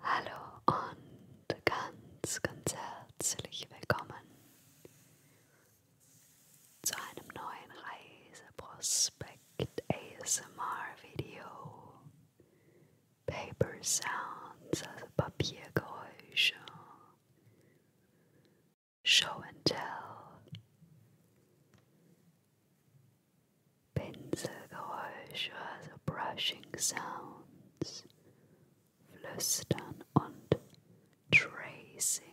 Hallo und ganz, ganz herzlich willkommen zu einem neuen Reiseprospekt ASMR Video. Paper Sounds, also Papiergeräusche. Show and Tell. Pinselgeräusche, also Brushing Sounds, Flüstern und Tracing,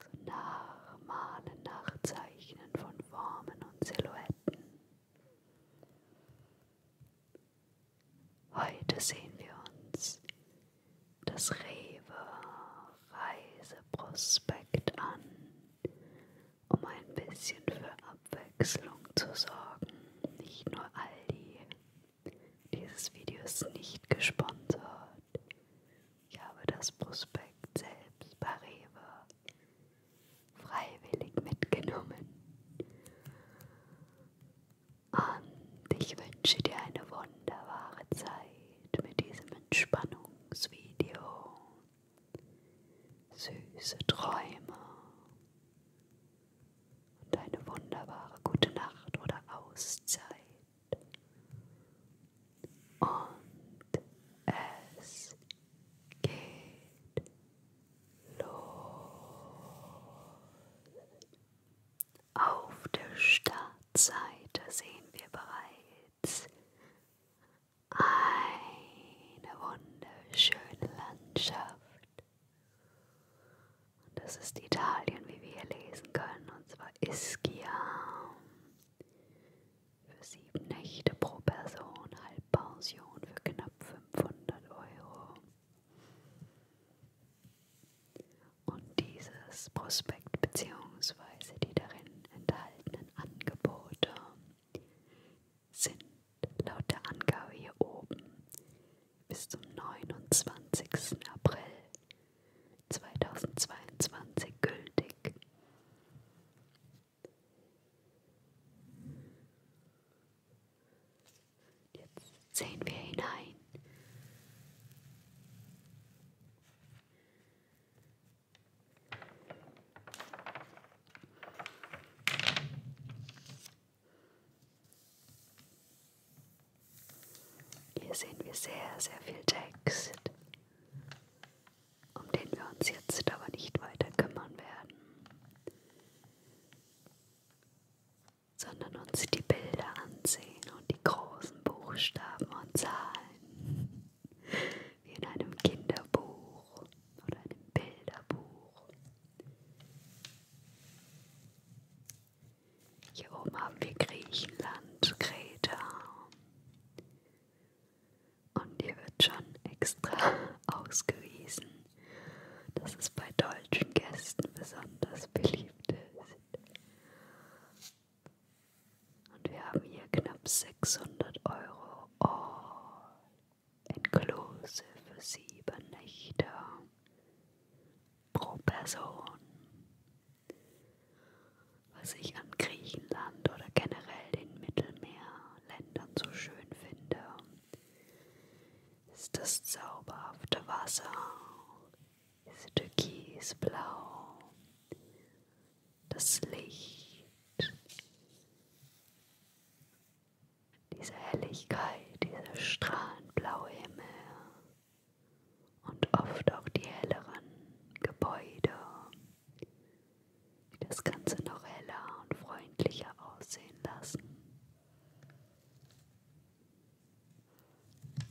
also Nachmalen, Nachzeichnen von Formen und Silhouetten. Heute sehen wir uns das Rewe Reiseprospekt an um ein bisschen für Abwechslung zu sorgen. Nicht nur Aldi. Dieses Video ist nicht gesponsert. Ich habe das Prospekt selbst bei Rewe freiwillig mitgenommen. Und ich wünsche dir eine wunderbare Zeit mit diesem Entspannungsvideo süße Träume und eine wunderbare gute Nacht oder Auszeit. Und es geht los. Auf der Startseite sehen wir bereits eine wunderschöne Landschaft. Und das ist Italien, wie wir hier lesen können, und zwar Ischia. Für sieben Nächte pro Person, Halbpension für knapp 500 Euro. Und dieses Prospekt bzw. die darin enthaltenen enthaltenen Angebote sind laut der Angabe hier oben bis zum 29. April 2022 gültig. Jetzt sehen wir hinein. Hier sehen wir sehr, sehr viel Text, um den wir uns jetzt aber nicht weiter kümmern werden, sondern uns die Bilder ansehen und die großen Buchstaben und Zahlen wie in einem Kinderbuch oder einem Bilderbuch. Hier oben haben wir Griechenland, Kreta. Und hier wird schon extra ausgewiesen, dass es bei deutschen Gästen besonders beliebt ist. Und wir haben hier knapp 600 Euro all inclusive für sieben Nächte pro Person. Was ich an Griechenland oder generell den Mittelmeerländern so schön finde, ist das zauberhafte Wasser, ist türkisblau das Licht, diese Helligkeit, dieser strahlend blaue Himmel und oft auch die helleren Gebäude, die das Ganze noch heller und freundlicher aussehen lassen.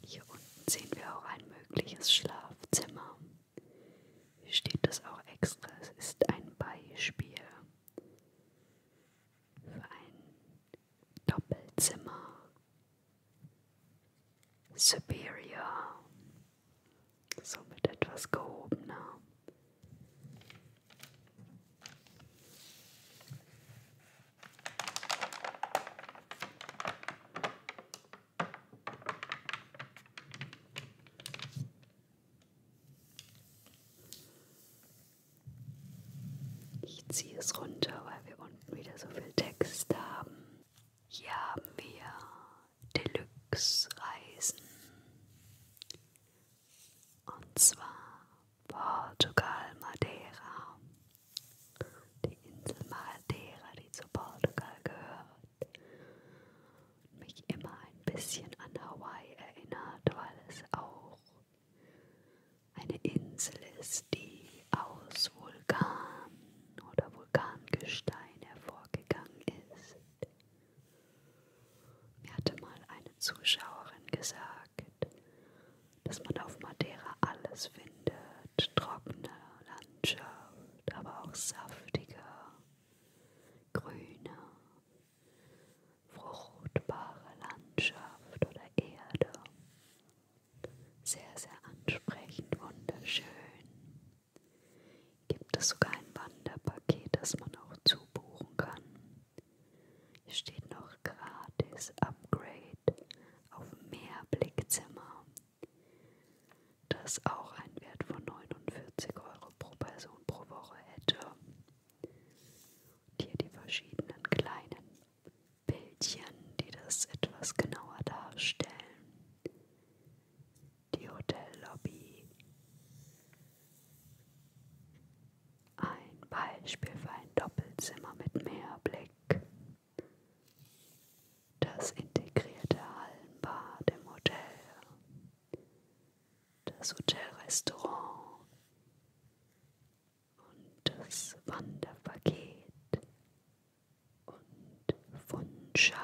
Hier unten sehen wir auch ein mögliches Schlafzimmer. Hier steht das auch extra. Es ist ein Beispiel für ein Doppelzimmer. Superior. Somit etwas gehobener. Ich ziehe es runter, weil wir unten wieder so viel Text haben. Hier haben wir Deluxe Reisen. Und zwar Portugal, Madeira. Die Insel Madeira, die zu Portugal gehört mich immer ein bisschen an Hawaii erinnert, weil es auch eine Insel ist, die aus Vulkan oder Vulkangestein hervorgegangen ist. Mir hatte mal eine Zuschauerin gesagt, dass man auf Madeira alles findet, trockene Landschaft, aber auch saftiger, grüner, fruchtbare Landschaft oder Erde. Sehr, sehr ansprechend, wunderschön. Gibt es sogar ein Wanderpaket, das man auch zubuchen kann. Hier steht noch gratis Upgrade auf Mehrblickzimmer das auch einen Wert von 49 Euro pro Person pro Woche hätte. Und hier die verschiedenen kleinen Bildchen, die das etwas genauer darstellen. Die Hotellobby. Ein Beispiel für ein Doppelzimmer mit Meerblick das integrierte Hallenbad im Hotel, das Hotelrestaurant und das Wanderpaket und Fundschall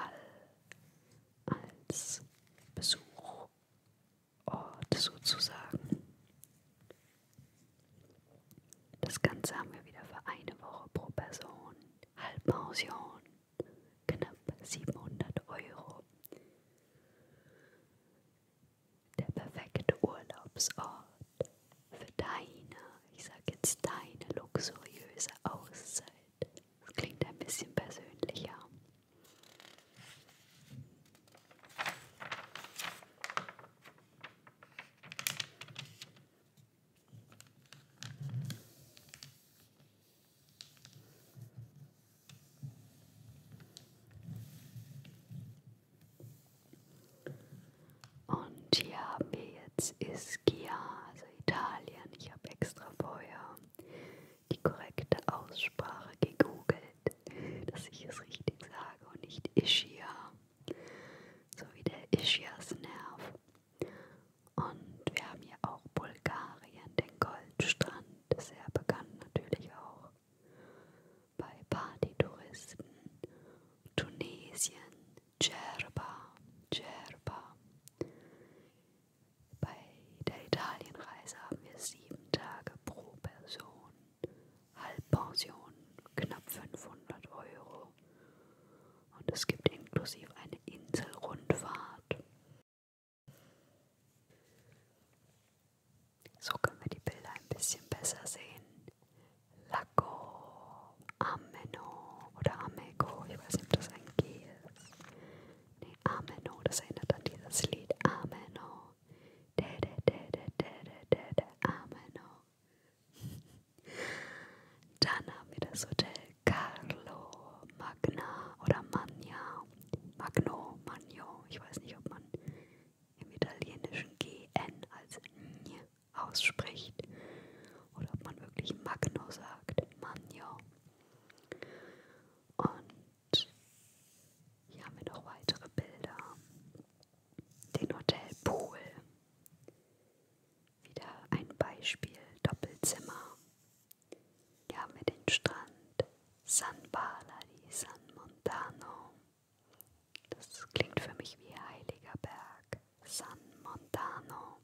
als Besuchort sozusagen. Das Ganze haben wir wieder für eine Woche pro Person. Halbpension knapp 700 Euro. Der perfekte Urlaubsort für deine, ich sag jetzt deine luxuriöse Auszeit. Das klingt ein bisschen persönlicher. Und hier haben wir jetzt Ischia, also Italien. Ich habe extra vorher die korrekte Aussprache gegoogelt, dass ich es richtig sage und nicht Ischia, so wie der Ischiasnerv. Und wir haben hier auch Bulgarien, den Goldstrand, sehr bekannt natürlich auch bei Partytouristen, Tunesien, Djerba, Djerba. Bei der Italienreise haben wir sieben Tage pro Person, Halbpension knapp 500 Euro und es gibt inklusive eine Inselrundfahrt. So können wir die Bilder ein bisschen besser sehen. Lago, Ameno oder Amego, ich weiß nicht, ob das ein G ist. Nee, Ameno, das erinnert an dieses Lied. Ameno, de de de de de de de, de Ameno. Dann haben wir das Hotel Carlo Magna oder Magna, Magno, Magno. Ich weiß nicht, ob man im italienischen GN als N ausspricht oder ob man wirklich Magno sagt, Magno. Und hier haben wir noch weitere Bilder. Den Hotel Pool. Wieder ein Beispiel Doppelzimmer. Hier haben wir den Strand San Bala di San Montano. Das klingt für mich wie Heiliger Berg San Montano.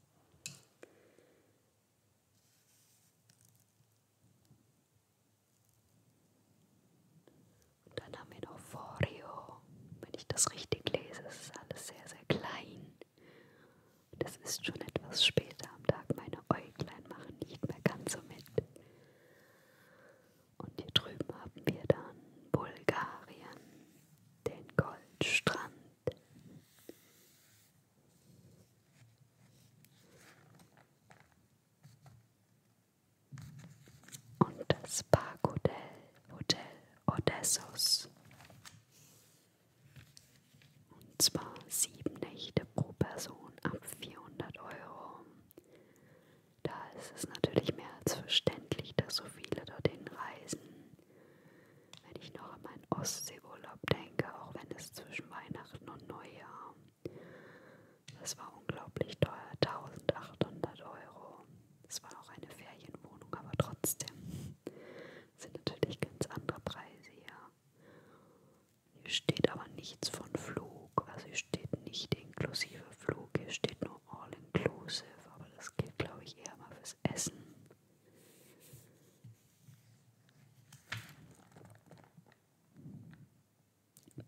Und dann haben wir noch Forio wenn ich das richtig lese, ist alles sehr, sehr klein. Und es ist schon etwas später am Tag. Meine Äuglein machen nicht mehr ganz so mit. Und hier drüben haben wir dann Bulgarien, den Goldstrand. Und das Parkhotel Hotel Odessos. Und zwar sieben Nächte pro Person ab 400 Euro. Da ist es natürlich mehr als verständlich, dass so viele dorthin reisen. Wenn ich noch an meinen Ostseeurlaub denke, auch wenn es zwischen Weihnachten und Neujahr, das war unglaublich teuer, 1800 Euro. Es war auch eine Ferienwohnung, aber trotzdem sind natürlich ganz andere Preise, ja. Hier steht aber nichts von Flug, also hier steht nicht inklusive Flug, hier steht nur all inclusive, aber das gilt glaube ich eher mal fürs Essen.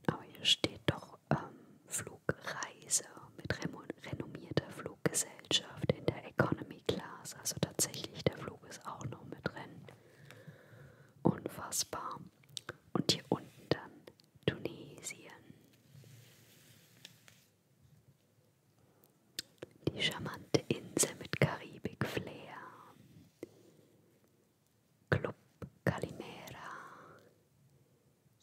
Aber hier steht doch ähm, Flugreise mit renommierter Flugreise. Fluggesellschaft in der Economy Class. Also tatsächlich, der Flug ist auch noch mit drin. Unfassbar. Und hier unten dann Tunesien. Die charmante Insel mit Karibik-Flair. Club Calimera.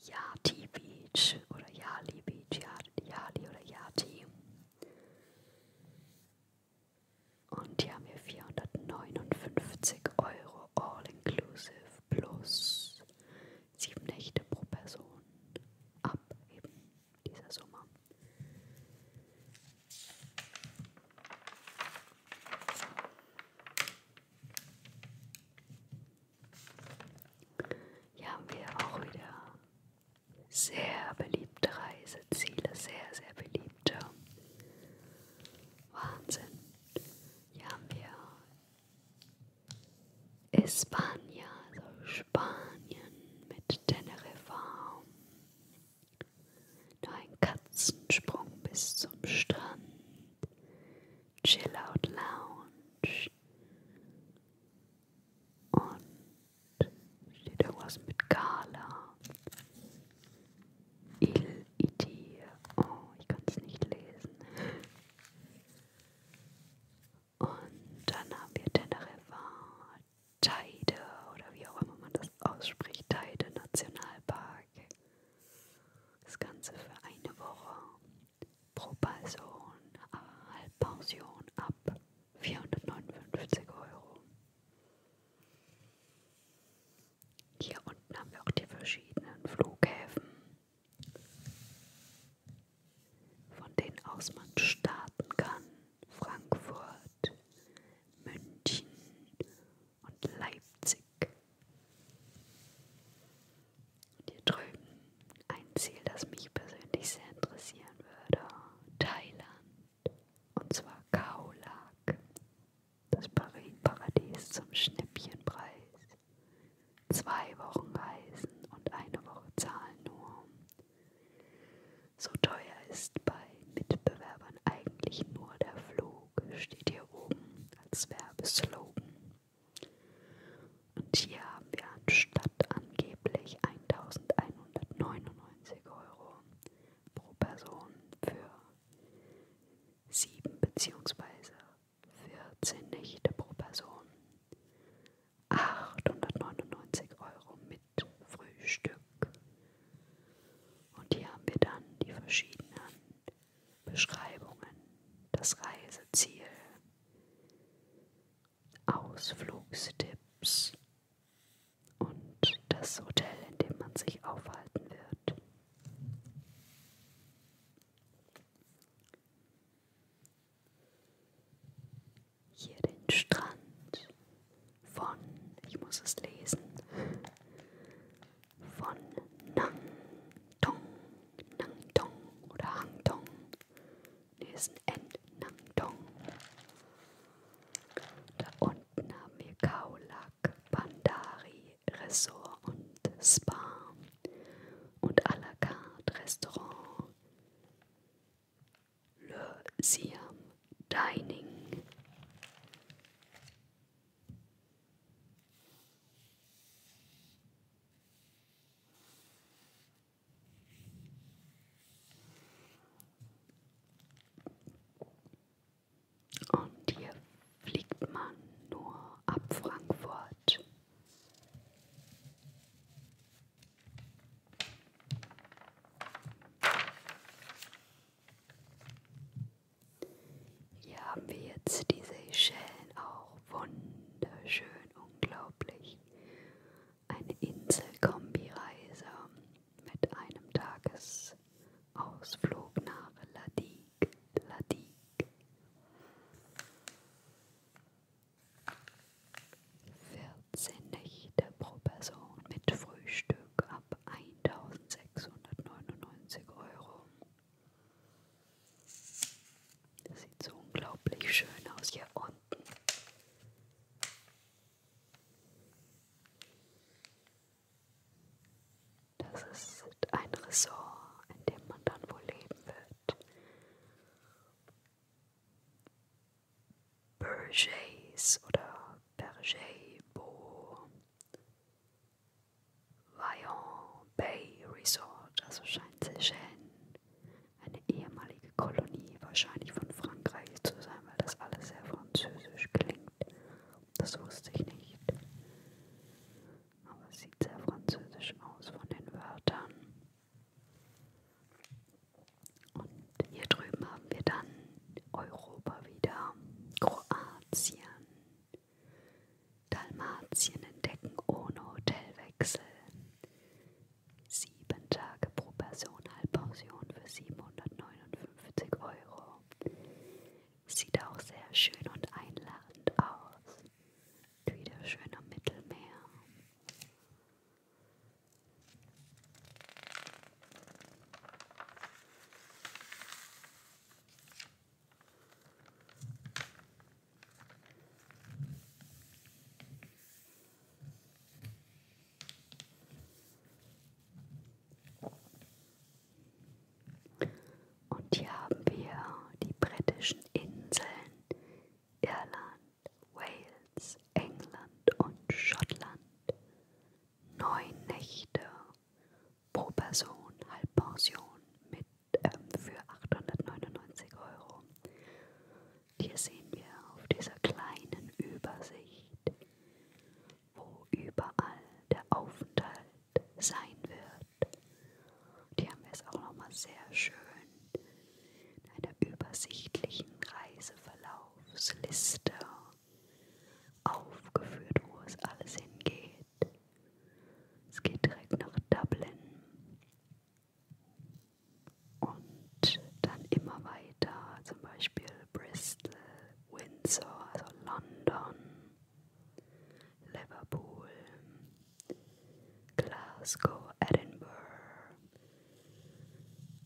Yati Beach oder Yali Beach, Yali oder Yati. Und hier haben wir 459 Euro all inclusive plus sieben Nächte pro Person ab eben dieser Summe. Hier haben wir auch wieder sehr beliebte Reiseziele, sehr, sehr beliebte. Wahnsinn. Hier haben wir Espanja, also Spanien mit Teneriffa. Nur ein Katzensprung bis zum Strand. Chill Out Lounge. Und steht irgendwas mit Gala. Il Idir. Oh, ich kann es nicht lesen. Und dann haben wir Teneriffa, Teide oder wie auch immer man das ausspricht, Teide Nationalpark. Das Ganze für eine Woche pro Person Halbpension ab 459 Euro. Hier unten haben wir auch die verschiedenen Flughäfen, von denen aus man starten kann. Frankfurt, München und Leipzig. Und hier drüben ein Ziel, das mich persönlich sehr interessieren würde. Thailand. Und zwar Kaolak. Das Paradies zum Schnäppchenpreis. Zwei Wochen Reisen und eine Woche zahlen nur. So teuer ist bei Mitbewerbern eigentlich nur der Flug, steht hier oben als Werbeslogan. Und hier haben wir anstatt angeblich 1199 Euro pro Person für 7 bzw. 14 Nächte pro Person 899 Euro mit Frühstück. Und hier haben wir dann die verschiedenen Beschreibungen, das Reiseziel, Ausflugstipps und das Hotel, in dem man sich aufhalten wird. Hier den Strand von, ich muss es lesen, von Nang Tong Nangdong oder Hangdong. Ne, ist ein End. Nangdong. Da unten haben wir Kaulak, Bandari, Ressort und Spa. Und à la carte Restaurant. Le Siam Dining. Und hier fliegt man nur ab Frankfurt. Hier haben wir jetzt die Seychellen auch wunderschön, unglaublich. Eine Inselkombireise mit einem Tagesausflug nach Ladik, Ladik. 14 Nächte pro Person mit Frühstück ab 1699 Euro. Das sieht so unglaublich schön aus hier unten. Das ist ein Ressort, in dem man dann wohl leben wird. Bergers oder Berger Beau. Lion Bay Resort, also scheint Seychellen eine ehemalige Kolonie wahrscheinlich von Frankreich zu sein, weil das alles sehr französisch klingt. Das wusste ich nicht. Aber es sieht sehr französisch aus von den Wörtern. Und hier drüben haben wir dann Europa wieder, Kroatien, Dalmatien entdecken ohne Hotelwechsel. Sieben Tage pro Person Halbpension für 759 Euro. Sieht auch sehr schön und einladend aus. Wieder schön am Mittelmeer. Und hier haben wir die britischen Inseln Irland, Wales, England und Schottland. Neun Nächte pro Person Halbpension mit äh, für 899 Euro. Hier sehen wir auf dieser kleinen Übersicht, wo überall der Aufenthalt sein wird. Und hier haben wir es auch nochmal sehr schön in einer übersichtlichen Reiseverlaufsliste aufgeführt, wo es alles hingeht. Es geht direkt nach Dublin und dann immer weiter, zum Beispiel Bristol, Windsor, also London, Liverpool, Glasgow, Edinburgh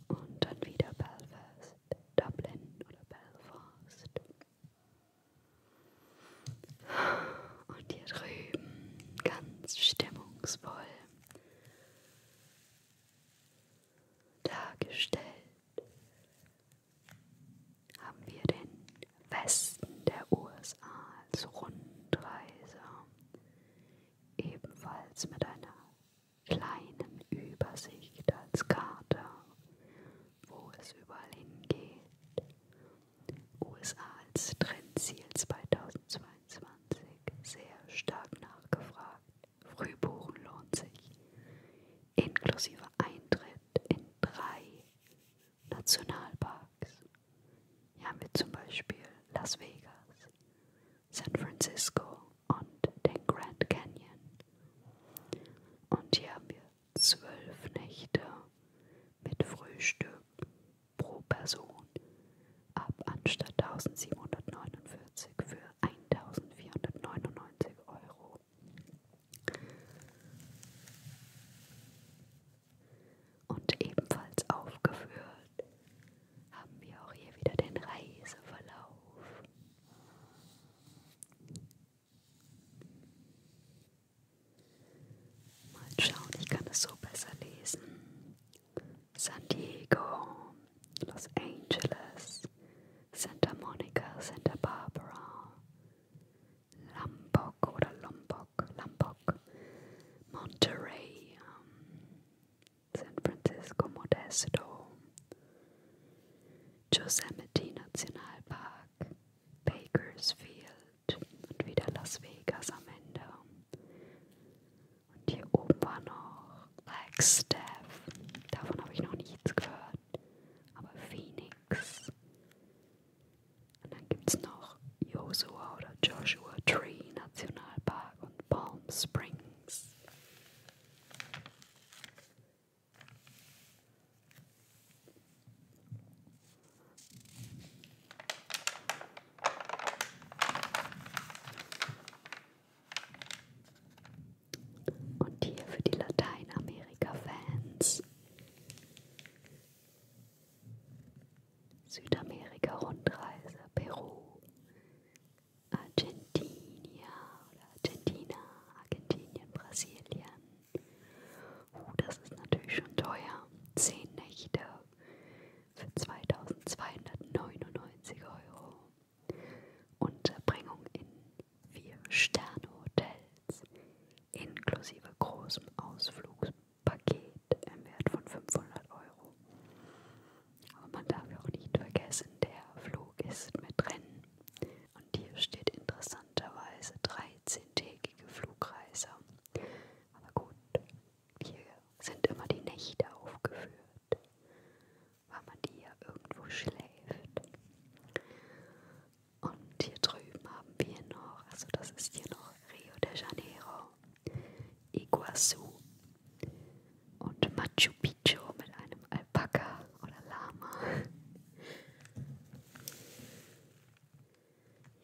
und dann wieder Belfast, Dublin oder Belfast. Und hier drüben ganz stimmungsvoll dargestellt haben wir den Westen der USA als Rundreise, ebenfalls mit einer kleinen Übersicht als Karte, wo es überall hingeht USA als Trendziel 2022 sehr stark nachgefragt. Frühbuchen lohnt sich. Inklusive Eintritt in drei Nationalparks. Hier haben wir zum Beispiel Las Vegas, San Francisco und den Grand Canyon. Und hier haben wir zwölf Nächte mit Frühstück pro Person ab anstatt 1749 für 1499 Euro. Und ebenfalls aufgeführt haben wir auch hier wieder den Reiseverlauf. Mal schauen, ich so besser lesen. San Diego, Los Angeles, Santa Monica, Santa Barbara, Lombok oder Lombok, Lombok, Monterey, um, San Francisco, Modesto, Yosemite Nationalpark, Bakersfield und wieder Las Vegas am Ende. Und hier oben war noch Flagstaff. Davon habe ich noch nichts gehört. Aber Phoenix. Und dann gibt es noch Joshua oder Joshua Tree Nationalpark und Palm Springs. Und hier für die Lateinamerika-Fans. Südamerika-Rundreise, Peru, Argentinien oder Argentina, Argentinien, Brasilien, Uh, das ist natürlich schon teuer. 10 Nächte für 2299 Euro. Unterbringung in vier Sterne-Hotels inklusive großem Ausflugspaket im Wert von 500 Euro. Aber man darf auch nicht vergessen, der Flug ist mit drin. Und hier steht interessant, interessanterweise 13-tägige Flugreise. Aber gut, hier sind immer die Nächte aufgeführt, weil man die ja irgendwo schläft. Und hier drüben haben wir noch, also das ist hier noch Rio de Janeiro, Iguazu und Machu Picchu mit einem Alpaka oder Lama.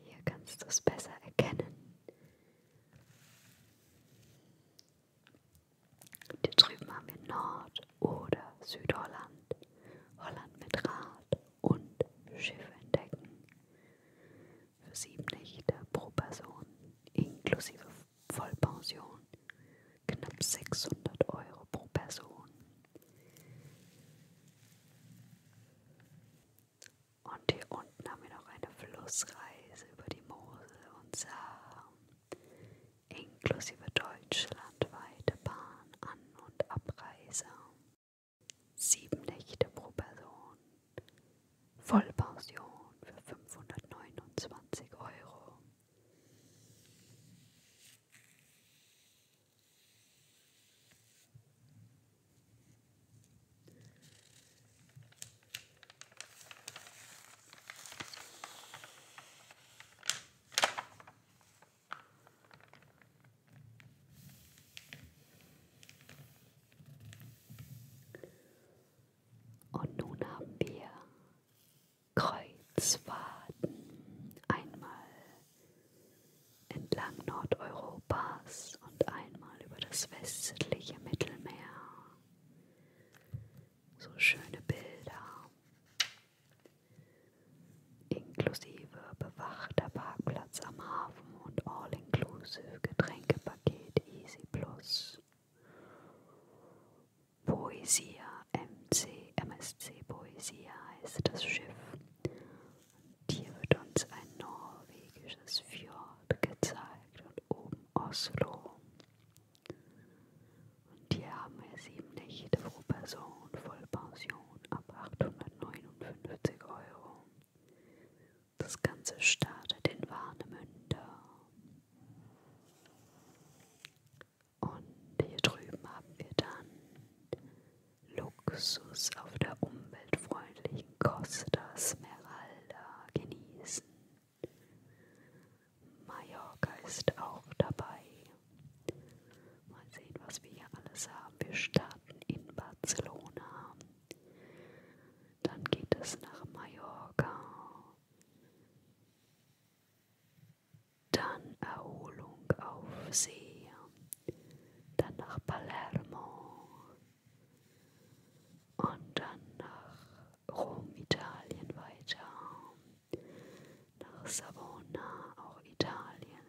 Hier kannst du es besser erkennen. Hier drüben haben wir Nord- oder Südholland. Holland mit Rad und Schiff entdecken. Für sieben Nächte pro Person inklusive Vollpension knapp 600 Euro pro Person. Und hier unten haben wir noch eine Flussreise über die Mosel und Saar, inklusive deutschlandweite Bahn, An- und Abreise. Sieben Nächte pro Person, Vollpension für 529 Euro. Und nun haben wir Kreuzfahrten. Einmal entlang Nordeuropas und einmal über das westliche Mittelmeer. So schöne Bilder, inklusive bewachter Parkplatz am Hafen und all-inclusive Getränkepaket Easy Plus. Poesia MC, MSC Poesia heißt das Schiff hier wird uns ein norwegisches Fjord gezeigt und oben Oslo. Und hier haben wir sieben Nächte pro Person, Vollpension ab 859 Euro. Das Ganze startet in Warnemünde. Und hier drüben haben wir dann Luxus auf der umweltfreundlichen Costa Smeralda genießen. Mallorca ist auch dabei. Mal sehen, was wir hier alles haben. Wir starten in Barcelona. Dann geht es nach Mallorca dann Erholung auf See, dann nach Palermo und dann nach Rom, Italien weiter, nach Savona, auch Italien,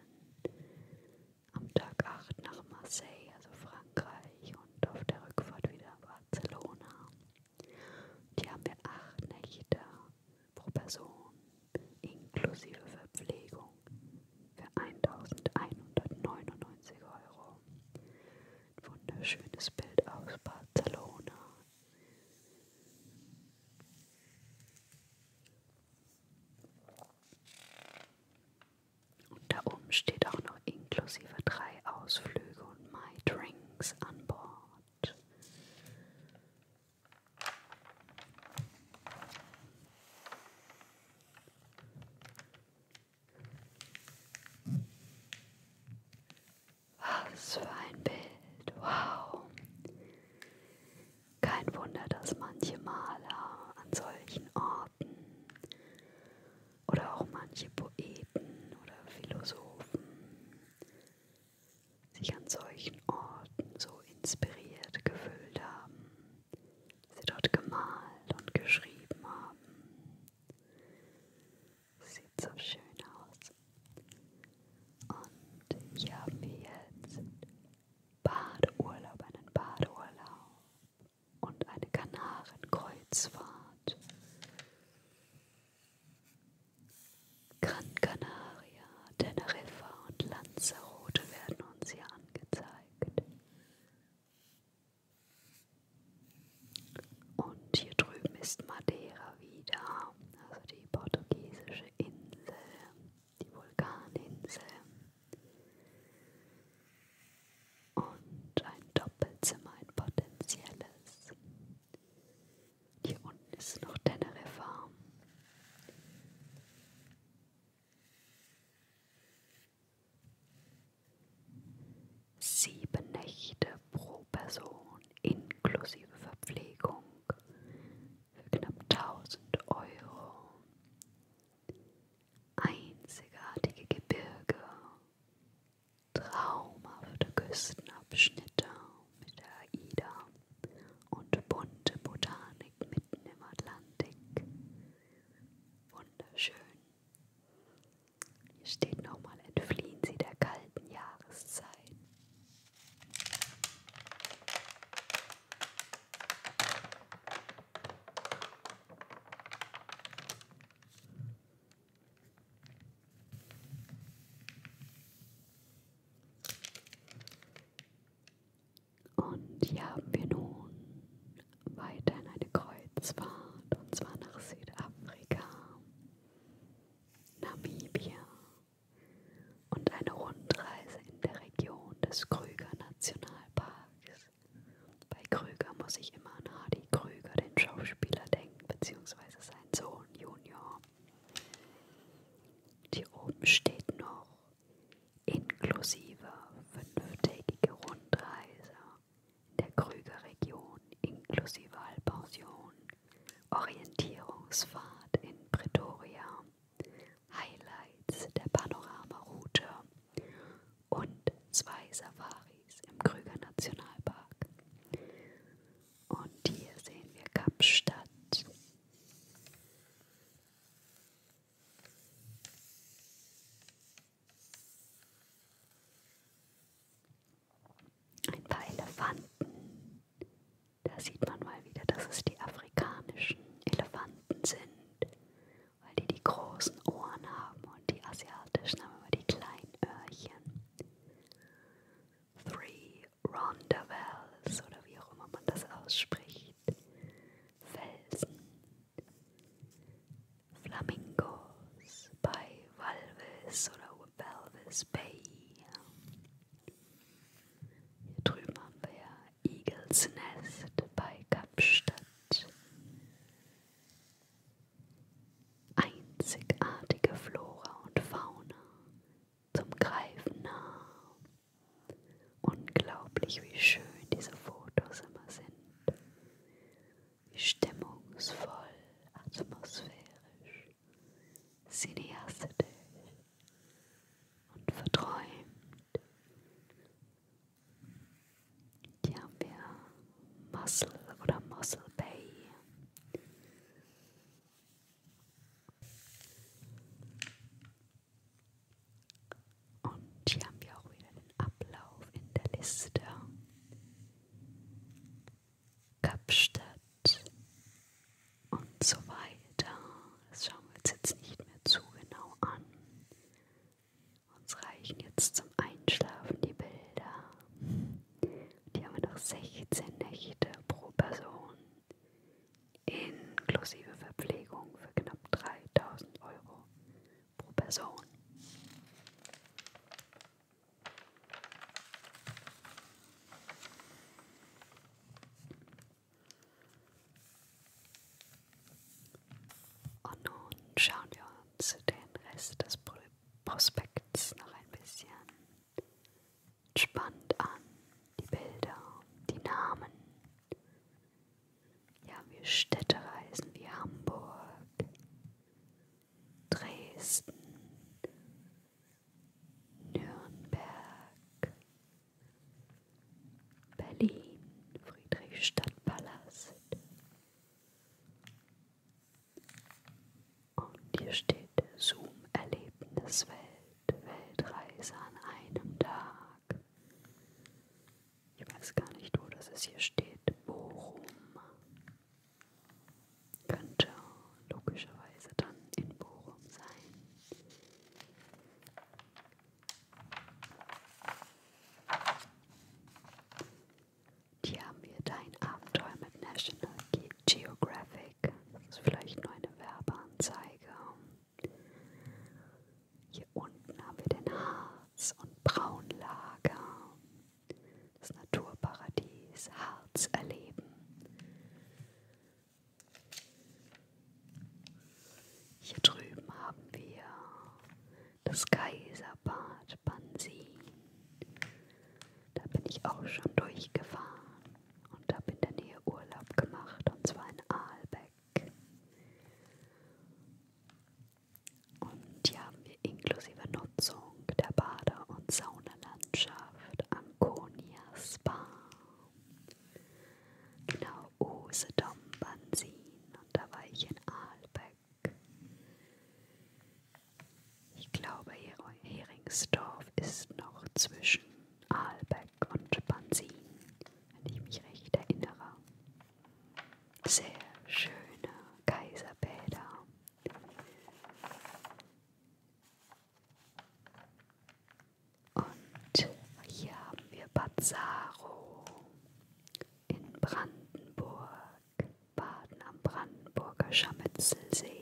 am Tag 8 nach Marseille, also Frankreich und auf der Rückfahrt wieder Barcelona. Und hier haben wir acht Nächte pro Person inklusive Verpflegung für 1199 Euro. Ein wunderschönes Bild aus Barcelona. Und da oben steht auch noch inklusive drei Ausflüge und My Drinks an Bord. Was für ein Bild, wow. Kein Wunder, dass manche Maler an solchen Orten oder auch manche Poeten oder Philosophen sich an solchen Orten so inspiriert gefühlt haben, sie dort gemalt und geschrieben haben. Sieht so schön aus. Und hier haben wir jetzt Badeurlaub, einen Badeurlaub und eine Kanarenkreuzfahrt. Gran Canaria, Teneriffa und Lanzarote werden uns hier angezeigt. Und hier drüben ist Madeira wieder, also die portugiesische Insel, die Vulkaninsel. Und ein Doppelzimmer, ein potenzielles. Hier unten ist noch Teneriffa. Sieben Nächte pro Person inklusive Verpflegung für knapp 1000 Euro. Einzigartige Gebirge, traumhafte Küstenabschnitte mit der AIDA, und bunte Botanik mitten im Atlantik. Wunderschön. Hier steht nochmal, entfliehen Sie der kalten Jahreszeit. Und hier haben wir nun weiterhin eine Kreuzfahrt und zwar nach Südafrika, Namibia und eine Rundreise in der Region des Krüger Nationalparks. Bei Krüger muss ich immer an Hardy Krüger, den Schauspieler, denken, beziehungsweise seinen Sohn Junior. Hier oben steht noch inklusive fünftägige Rundreise in der Krügerregion inklusive Halbpension, Orientierungsfahrt in Pretoria, Highlights der Panoramaroute und zwei Safaris im Krüger Nationalpark. Und hier sehen wir Kapstadt, ein paar Elefanten. Da sieht man mal wieder, dass es die afrikanischen Elefanten sind, weil die die großen Ohren haben und die asiatischen haben immer die kleinen Öhrchen. Three Rhondda Wells oder wie auch immer man das ausspricht. Felsen. Flamingos bei Walvis oder Walvis Bay. Hier drüben haben wir ja Eagles Nest bei Kapstadt. Einzigartige Flora und Fauna zum Greifen nah. Unglaublich, wie schön diese Fotos immer sind. Wie stimmungsvoll, atmosphärisch, cineastisch und verträumt. Hier haben wir Muscle oder Muscle Bay. Und hier haben wir auch wieder den Ablauf in der Liste. Kapstadt und so weiter. Das schauen wir uns jetzt nicht mehr zu genau an. Uns reichen jetzt zum Einschlafen die Bilder. Die haben wir noch 16 Nächte pro Person inklusive Verpflegung für knapp 3000 Euro pro Person. Und nun schauen wir uns den Rest des Prospekts noch ein bisschen Entspannt an die Bilder, die Namen. Ja, wir Städtereisen wie Hamburg, Dresden, Nürnberg, Berlin, Friedrichstadtpalast. Und hier steht Zoom-Erlebniswelt. Weltreise an einem Tag. Ich weiß gar nicht, wo das ist. Hier steht Bochum. Könnte logischerweise dann in Bochum sein. Die haben hier dein Abenteuer mit National Geographic weg. Das ist vielleicht nur eine Werbeanzeige. Hier unten haben wir den Harz- und Braunlager. Das Naturparadies Harz erleben. Hier drüben haben wir das Kaiserbad Bansin. Da bin ich auch schon durchgefahren und habe in der Nähe Urlaub gemacht und zwar in Aalbeck. Und hier haben wir inklusive Nutzung der Bade- und Saunalandschaft Anconia Spa. Genau, Usedom, Bansin und da war ich in Aalbeck. Ich glaube, Heringsdorf ist noch zwischen Ahlbeck und Bansin, wenn ich mich recht erinnere. Sehr schöne Kaiserbäder. Und hier haben wir Bazzaro in Brandenburg, Baden am Brandenburger Scharmützelsee.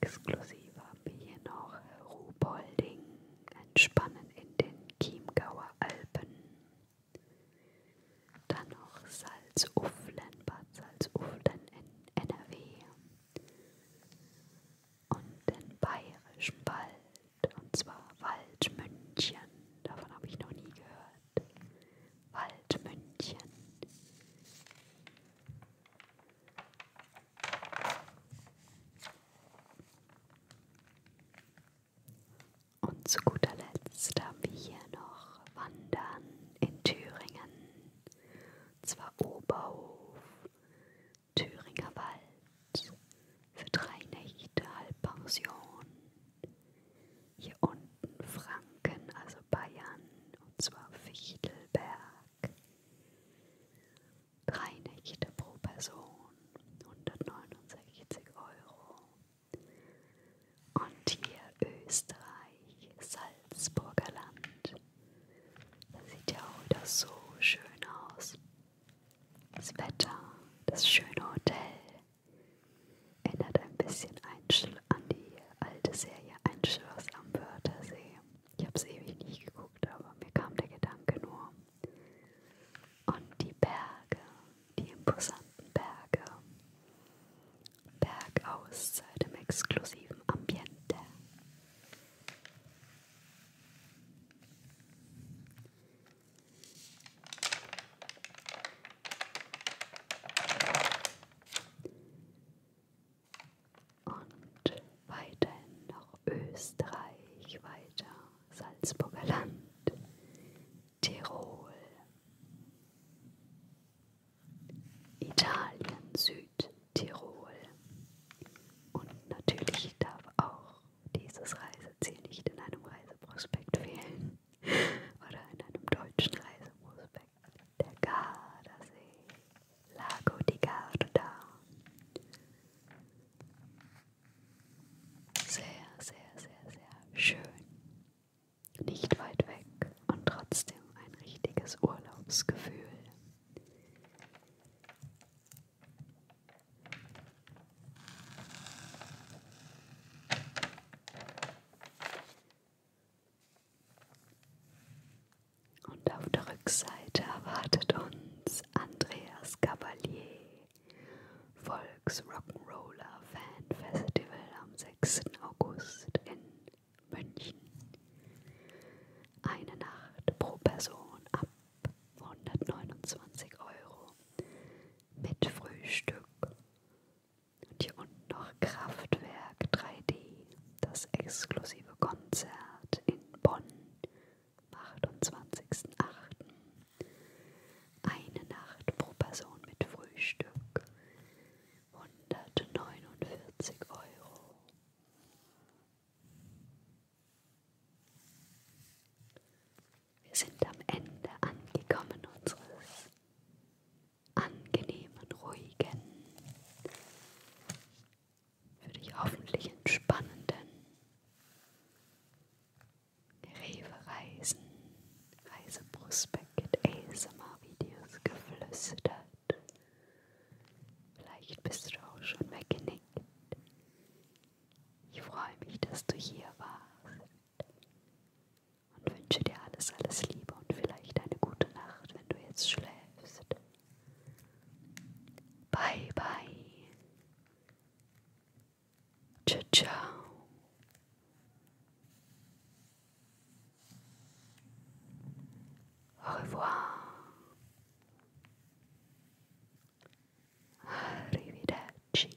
Exklusiv haben wir hier noch Ruhpolding, Entspannen in den Chiemgauer Alpen. Dann noch Salzuflen, Bad Salzuflen in NRW. Und den Bayerischen Wald, und zwar Waldmünchen. Davon habe ich noch nie gehört. Waldmünchen. Und zu guter Letzt haben wir hier noch Wandern in Thüringen. Und zwar Oberhof, Thüringer Wald, für drei Nächte Halbpension hier unten Franken, also Bayern, und zwar Fichtelberg. Drei Nächte pro Person, 169 Euro. Und hier Österreich, Salzburger Land. Das sieht ja auch wieder so schön aus. Das Wetter, das schöne Hotel, Erinnert ein bisschen an die alte Serie Ein Schloss am Wörthersee. Ich habe es ewig nicht geguckt, aber mir kam der Gedanke nur. Und die Berge, die imposanten Berge. Bergauszeit im exklusiven Ambiente. Und weiterhin noch Österreich, weiter Salzburger Land, Tirol, Italien, Südtirol. Und natürlich darf auch dieses Reiseziel nicht in einem Reiseprospekt fehlen oder in einem deutschen Reiseprospekt. Perfekt. Der Gardasee. Lago di Garda. Sehr, sehr, sehr, sehr schön. Nicht weit weg und trotzdem ein richtiges Urlaubsgefühl. Und auf der Rückseite erwartet uns Andreas Cavalier, Volksrock'n'Roller Fan Festival am 6. August in München. Eine Nacht pro Person ab 129 Euro mit Frühstück und hier unten noch Kraftwerk 3D, das exklusive Konzert in Bonn am 28.08. Eine Nacht pro Person mit Frühstück 149 Euro. Wir sind am Ende angekommen unseres angenehmen, ruhigen, für dich hoffentlich entspannenden Rewe-Reisen, Reiseprospekt, ASMR-Videos geflüstert. Vielleicht bist du auch schon weggenickt. Ich freue mich, dass du hier warst und wünsche dir alles, alles Liebe und vielleicht eine gute Nacht, wenn du jetzt schläfst. Bye, bye. Ciao, ciao. Au revoir. Arrivederci.